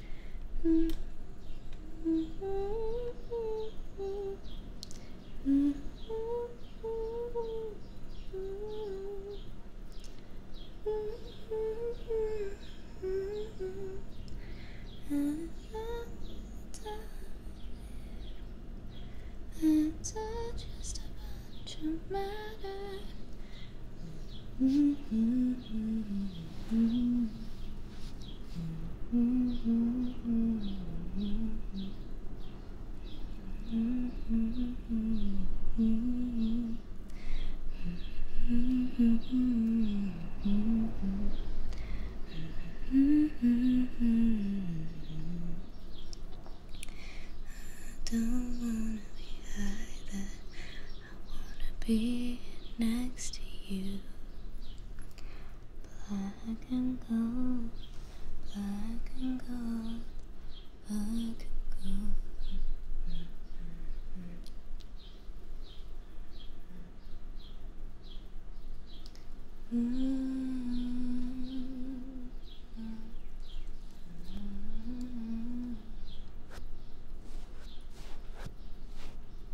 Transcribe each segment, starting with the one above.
It's just a bunch of matter. Mm -hmm. Mm -hmm. I don't wanna be high that I wanna be next to you. Black and gold, black and gold, black and gold. -hmm.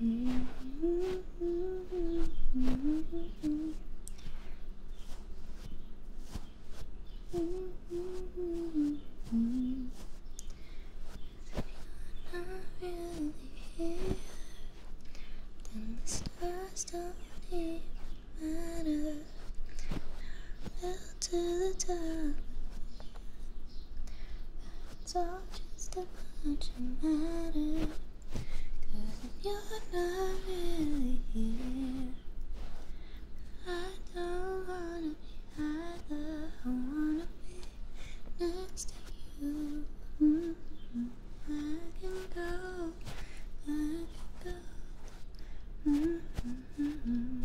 really here, then the stars don't even matter. I fell to the top. It's all just a bunch of matter. Cause if you're not really here, I don't wanna be either. I wanna be next to you. I can go, I can go.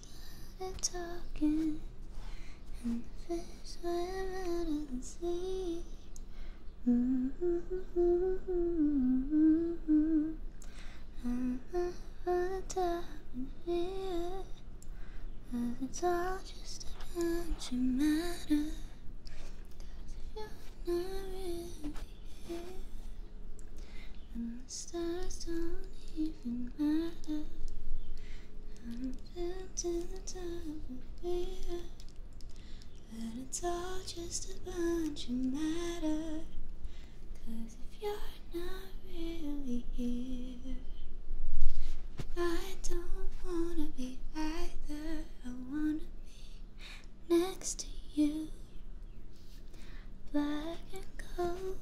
started talking, and the fish went out of the sea. I'm the top here, but it's all just a bunch of matter. you you're not really here, and the stars don't even matter. I've been to the top of but it's all just a bunch of matter. Cause if you're not really here, I don't wanna be either. I wanna be next to you, black and gold.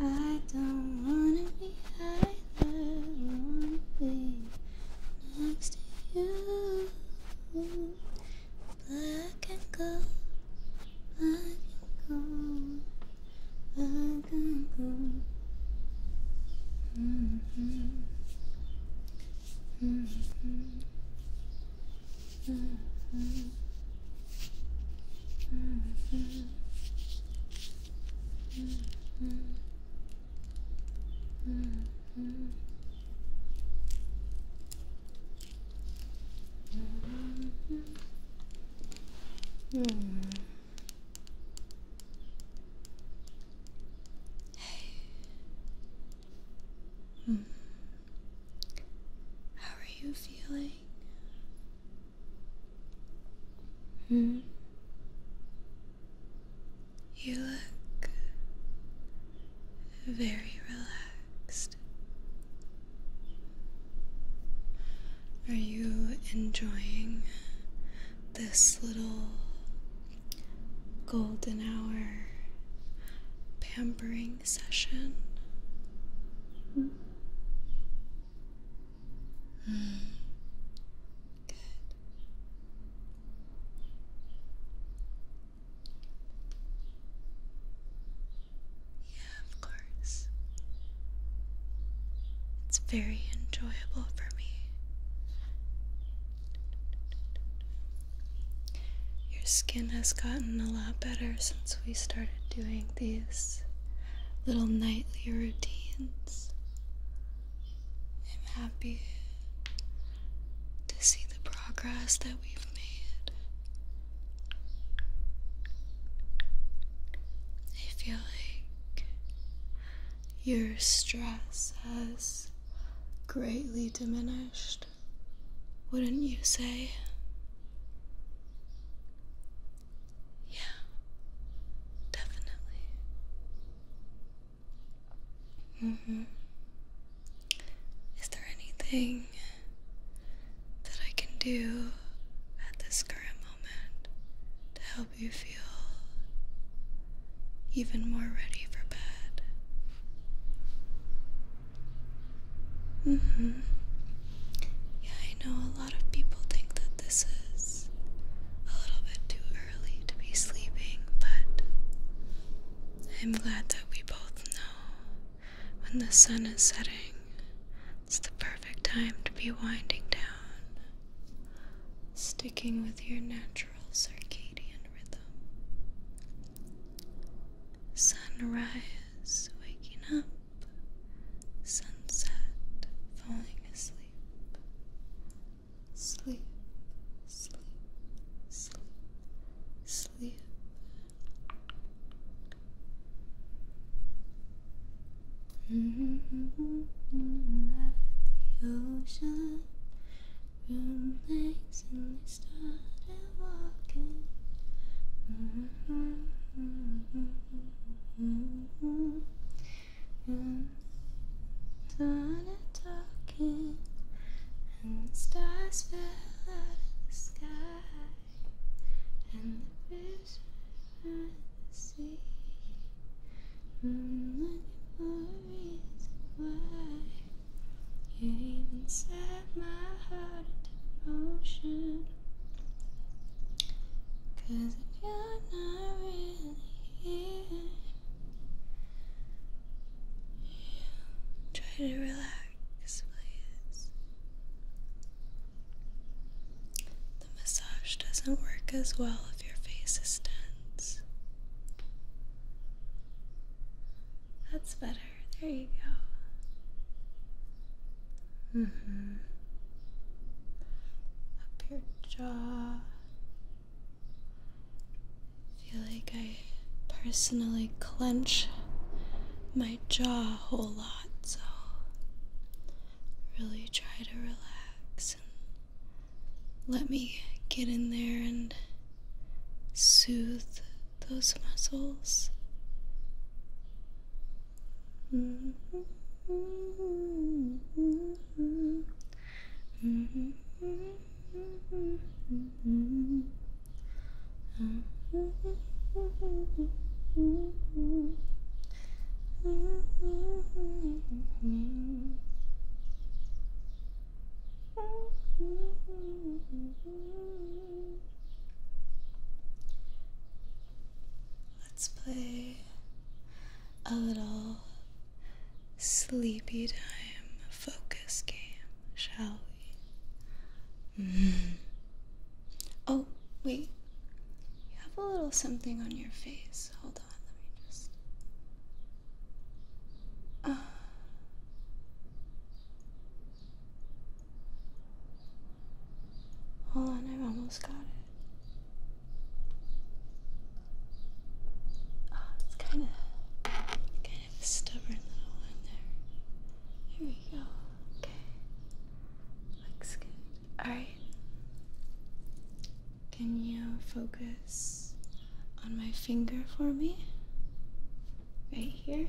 I don't wanna be either. Wanna be next to you, but I can go. I can go. I can go. Mm -hmm. Mm -hmm. -hmm. Mm -hmm. Mm -hmm. Mm -hmm. Mm -hmm. How are you feeling? Hmm. You look very relaxed. Are you enjoying this little golden hour pampering session? -hmm. Mm. Good. Yeah, of course. It's very enjoyable for me. Your skin has gotten a lot better since we started doing these little nightly routines. I'm happy to see the progress that we've made. I feel like your stress has greatly diminished, wouldn't you say? Yeah, definitely. Mm hmm. Is there anything that I can do at this current moment to help you feel even more ready for bed? Mm hmm. Yeah, I know a lot of people think that this is a little bit too early to be sleeping, but I'm glad that we both know when the sun is setting, it's the perfect time to be winding down, sticking with your natural circadian rhythm. Sunrise, waking up sunset falling asleep. Sleep, sleep, sleep, sleep. Mm -hmm. At the ocean, roommates and they started walking. Mm -hmm. Mm -hmm and talking, and the stars fell out of the sky, and the fish were in the sea. I'm looking for a reason you even set my heart into motion. Cause if you're not really here, try to relax, please. The massage doesn't work as well if your face is tense. That's better. There you go. Mm-hmm. Up your jaw. feel like I personally clench my jaw a whole lot, so really try to relax and let me get in there and soothe those muscles. Let's play a little sleepy time focus game, shall we? Mm-hmm. Oh, wait. You have a little something on your face. Hold on, let me just. Uh, hold on, I've almost got it. Oh, it's kind of kind of stubborn little one there. Here we go. Okay. Looks good. Alright. Can you focus on my finger for me? Right here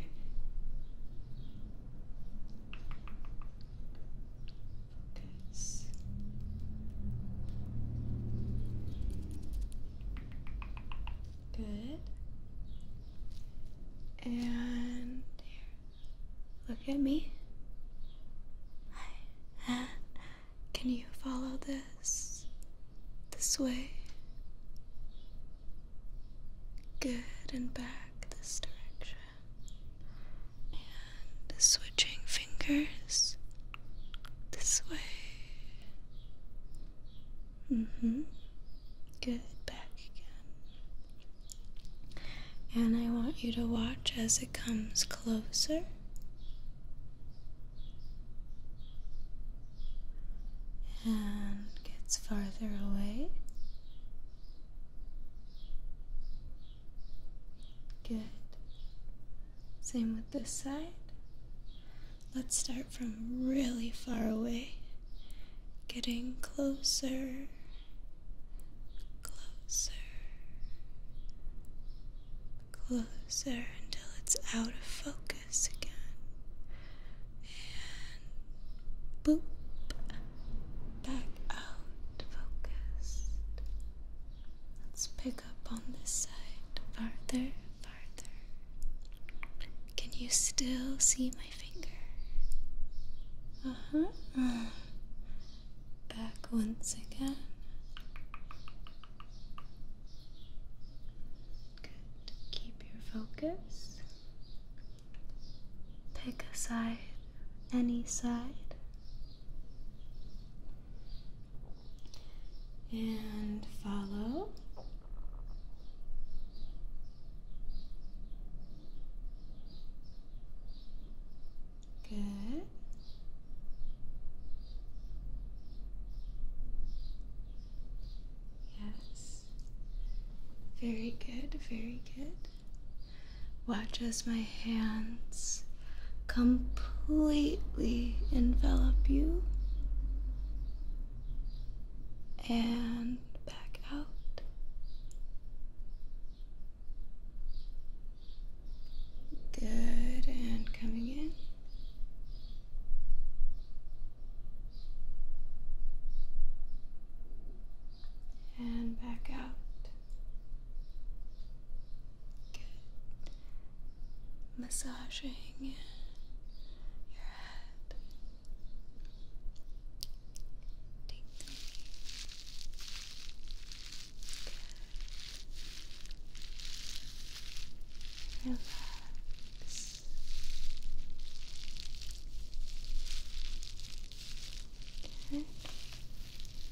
this. Good. And here. Look at me. Uh, can you follow this? This way. Good and back this direction and switching fingers this way. Mm hmm. Good. Back again. And I want you to watch as it comes closer. And gets farther away. Good. Same with this side. Let's start from really far away, getting closer, closer, closer until it's out of focus again. And boop, back out, focused. Let's pick up on this side farther, farther. Can you still see my finger? Uh huh. Back once again. Good. Keep your focus. Pick a side any side. And follow. Good. Yes. Very good, very good. Watch as my hands completely envelop you and back out. Good, and coming in. And back out. Good. Massaging your head. Tingly. Good. Relax. Good.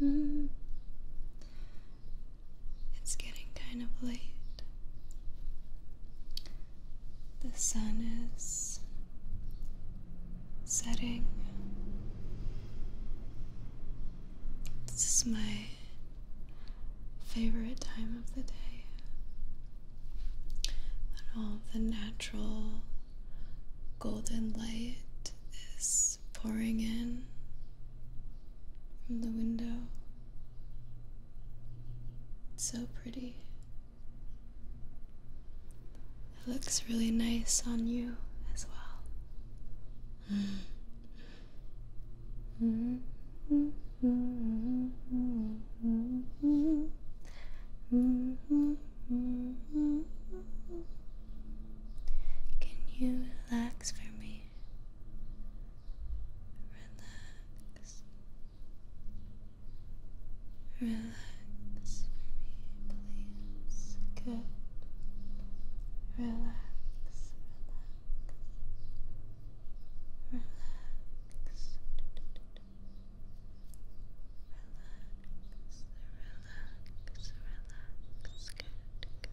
Mm-hmm. It's getting kind of late. The sun is setting. This is my favorite time of the day. And all the natural golden light is pouring in from the window. so pretty. It looks really nice on you as well. Mm-hmm. Mm-hmm. Mm-hmm. Mm-hmm. Can you relax for me? Relax. Relax for me, please. Good. Relax. Relax. Relax relax, relax, good, good.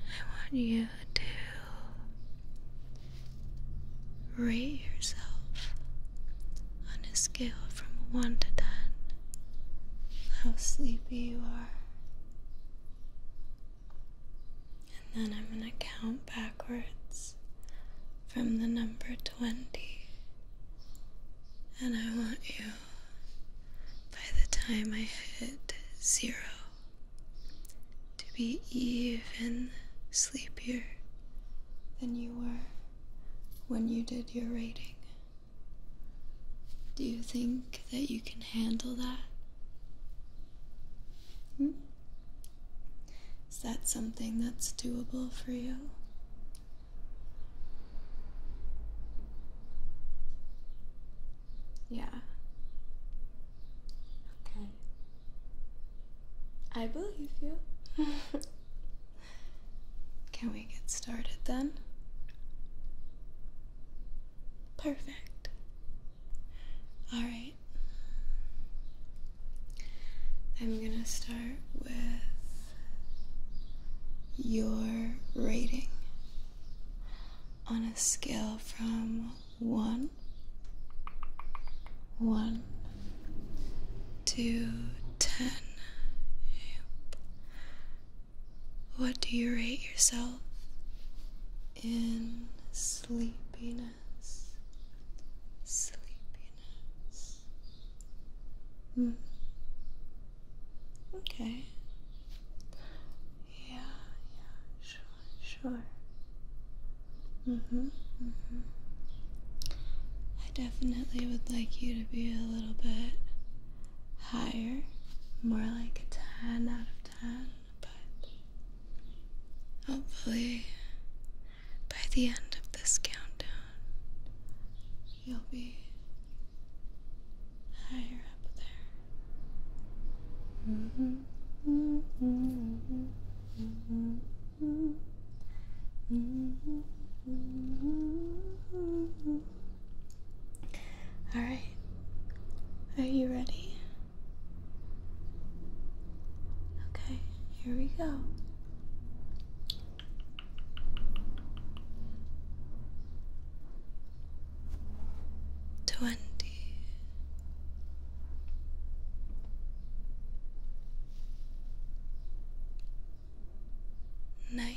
I want you to rate yourself on a scale from 1 to 10. How sleepy you are. And then I'm going to count backwards from the number 20. And I want you, by the time I hit zero, to be even sleepier than you were when you did your rating. Do you think that you can handle that? Hmm? Is that something that's doable for you? Yeah. Okay. I believe you. Can we get started then? Perfect. All right. I'm going to start with your rating on a scale from 1 1 to 10. What do you rate yourself? in sleepiness, sleepiness. Hmm. Okay. Yeah, yeah, sure, sure. hmm I definitely would like you to be a little bit higher, more like a 10 out of 10. But hopefully, by the end of this countdown, you'll be higher up there. All right. Are you ready? Okay, here we go. Twenty. Nineteen,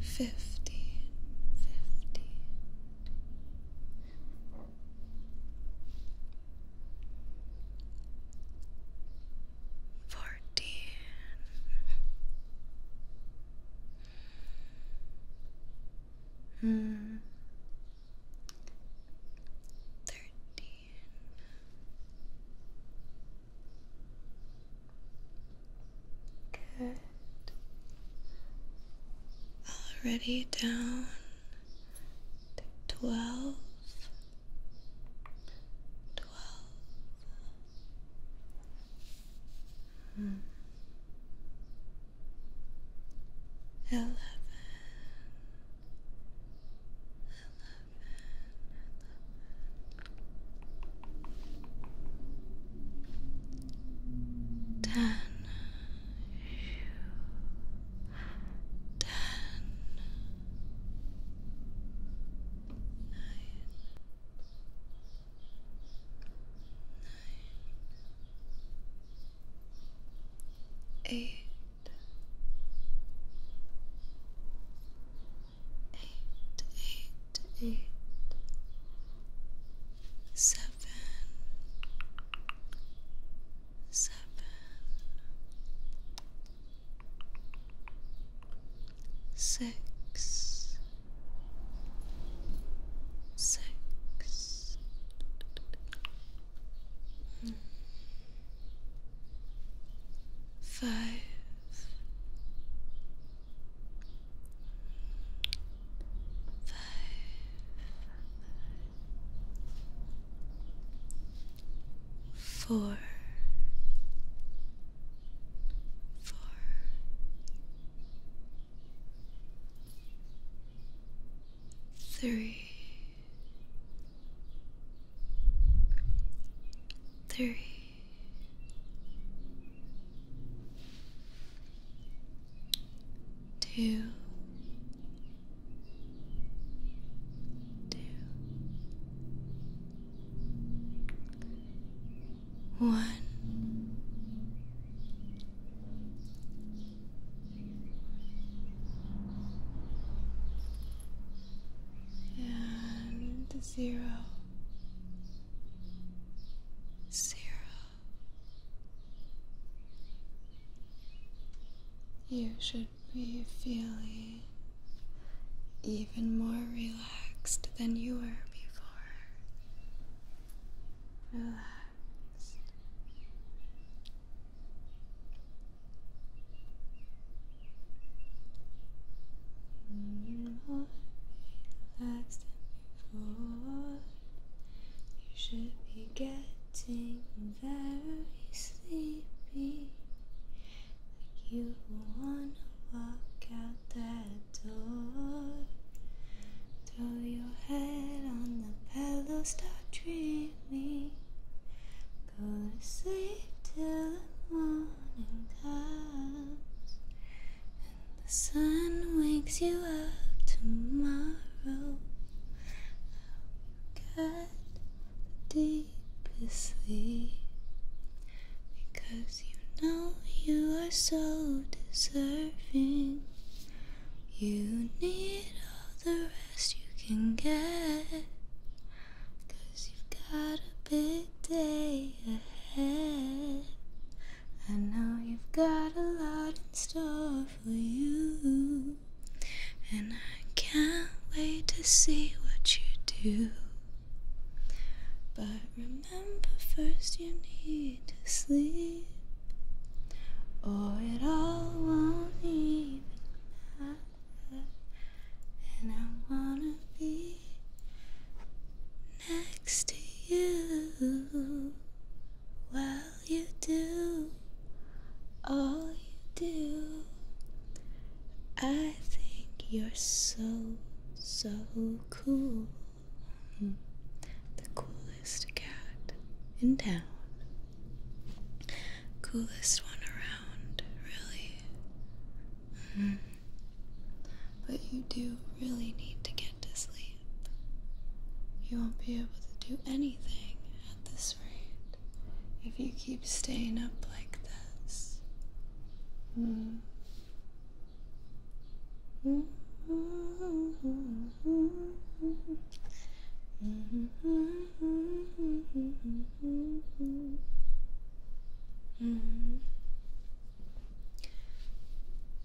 Fifteen, fifteen, fourteen, mm thirteen. Good. Already down to twelve. Twelve. Hmm eleven, eleven, nine, eight, eight, eight, eight, seven, seven. Six, six, five, five, four, four, three, three, two, two, one and zero, zero. You should be feeling even more relaxed than you were before. You should be getting very sleepy. Like you wanna walk out that door. Throw your head on the pillow, start dreaming me. Go to sleep till the morning comes, and the sun wakes you up tomorrow. I'll forget the deepest sleep because you know you are so deserving. You need. All the rest you can get. Cause you've got a big day ahead. I know you've got a lot in store for you. And I can't wait to see what you do. But remember, first you need to sleep or it all won't even matter. And I wanna be next to you while you do all you do. I think you're so, so cool. The coolest coolest cat in town. Coolest one around, really. Mm-hmm. But you do really need to get to sleep. You won't be able to do anything at this rate if you keep staying up like this. Mm-hmm. Mm-hmm.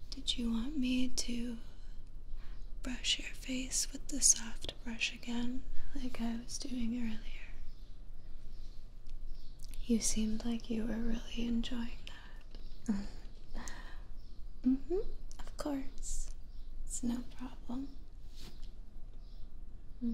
Did you want me to brush your face with the soft brush again, like I was doing earlier? You seemed like you were really enjoying that. mm hmm, of course. It's no problem problem. Mm-hmm.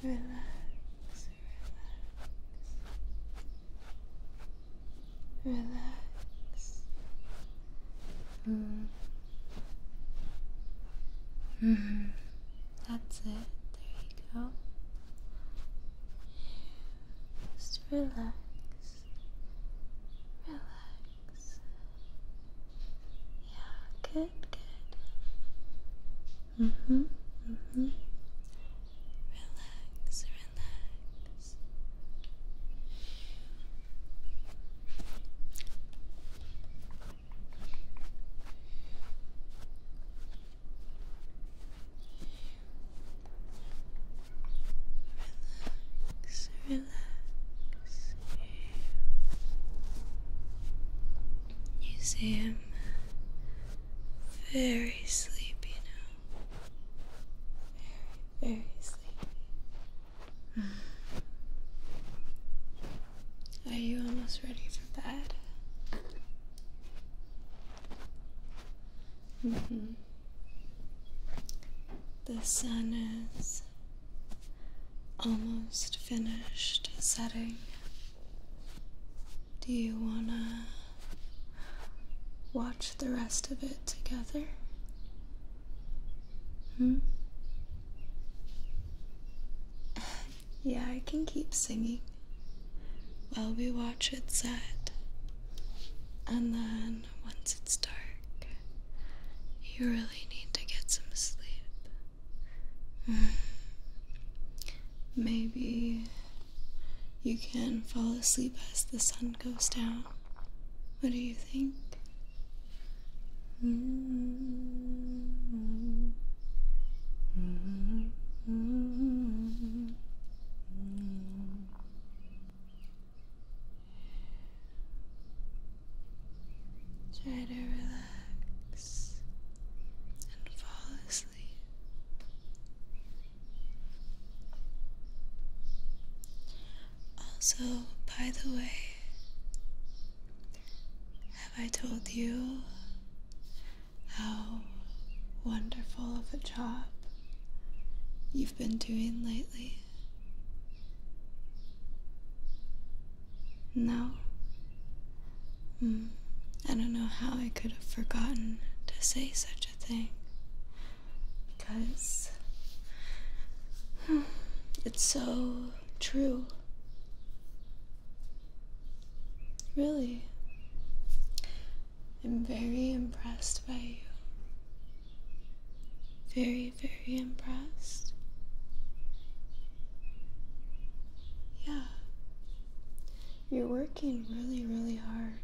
Relax. Relax. Relax. Relax. Relax. Mm. Mm-hmm. Mm -hmm. That's it. There you go. Just relax. Relax. Yeah, good, good. hmm, hmm. Relax, relax. Relax, relax. You see very sleepy now. Very, very sleepy. Are you almost ready for bed? Mm-hmm. The sun is almost finished setting. Do you want to watch the rest of it together? Hmm? yeah, I can keep singing while we watch it set. And then once it's dark, you really need to get some sleep. Hmm. Maybe you can fall asleep as the sun goes down. What do you think? Hmm. Hmm. Try to relax and fall asleep. Also, by the way, have I told you how wonderful of a job you've been doing lately. No. Hmm, I don't know how I could have forgotten to say such a thing. Because hmm, it's so true. Really. I'm very impressed by you. Very, very impressed. Yeah. You're working really, really hard.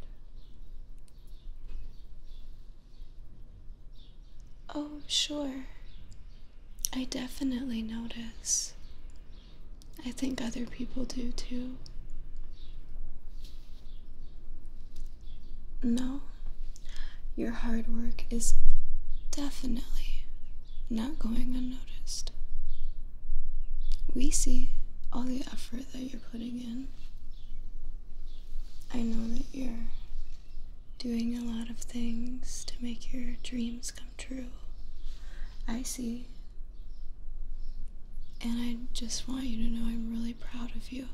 Oh, sure. I definitely notice. I think other people do too. No, your hard work is definitely not going unnoticed. We see all the effort that you're putting in. I know that you're doing a lot of things to make your dreams come true. I see and I just want you to know I'm really proud of you.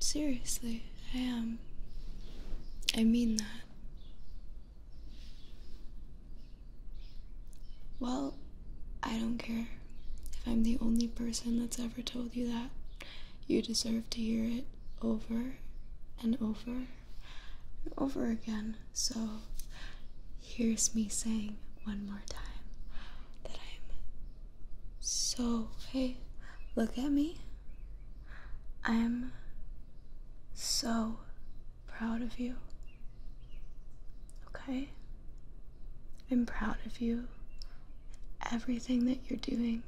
Seriously, I am. Um, I mean that. Well, I don't care if I'm the only person that's ever told you that. You deserve to hear it over and over over again. So here's me saying one more time that I'm so, hey, look at me. I'm so proud of you. Okay? I'm proud of you and everything that you're doing,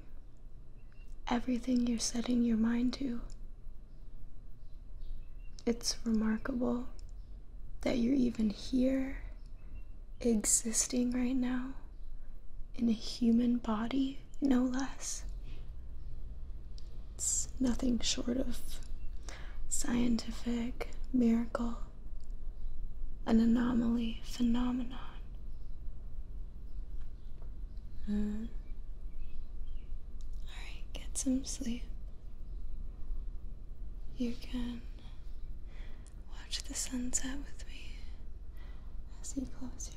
everything you're setting your mind to. It's remarkable that you're even here, existing right now, in a human body, no less. It's nothing short of scientific miracle, an anomaly phenomenon. Hmm. Alright, get some sleep. You can watch the sunset with me as you close your eyes.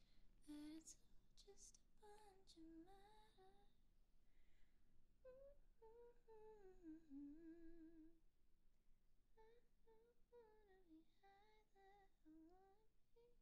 But it's all just a bunch of matter. I don't wanna be either. I wanna be next to you.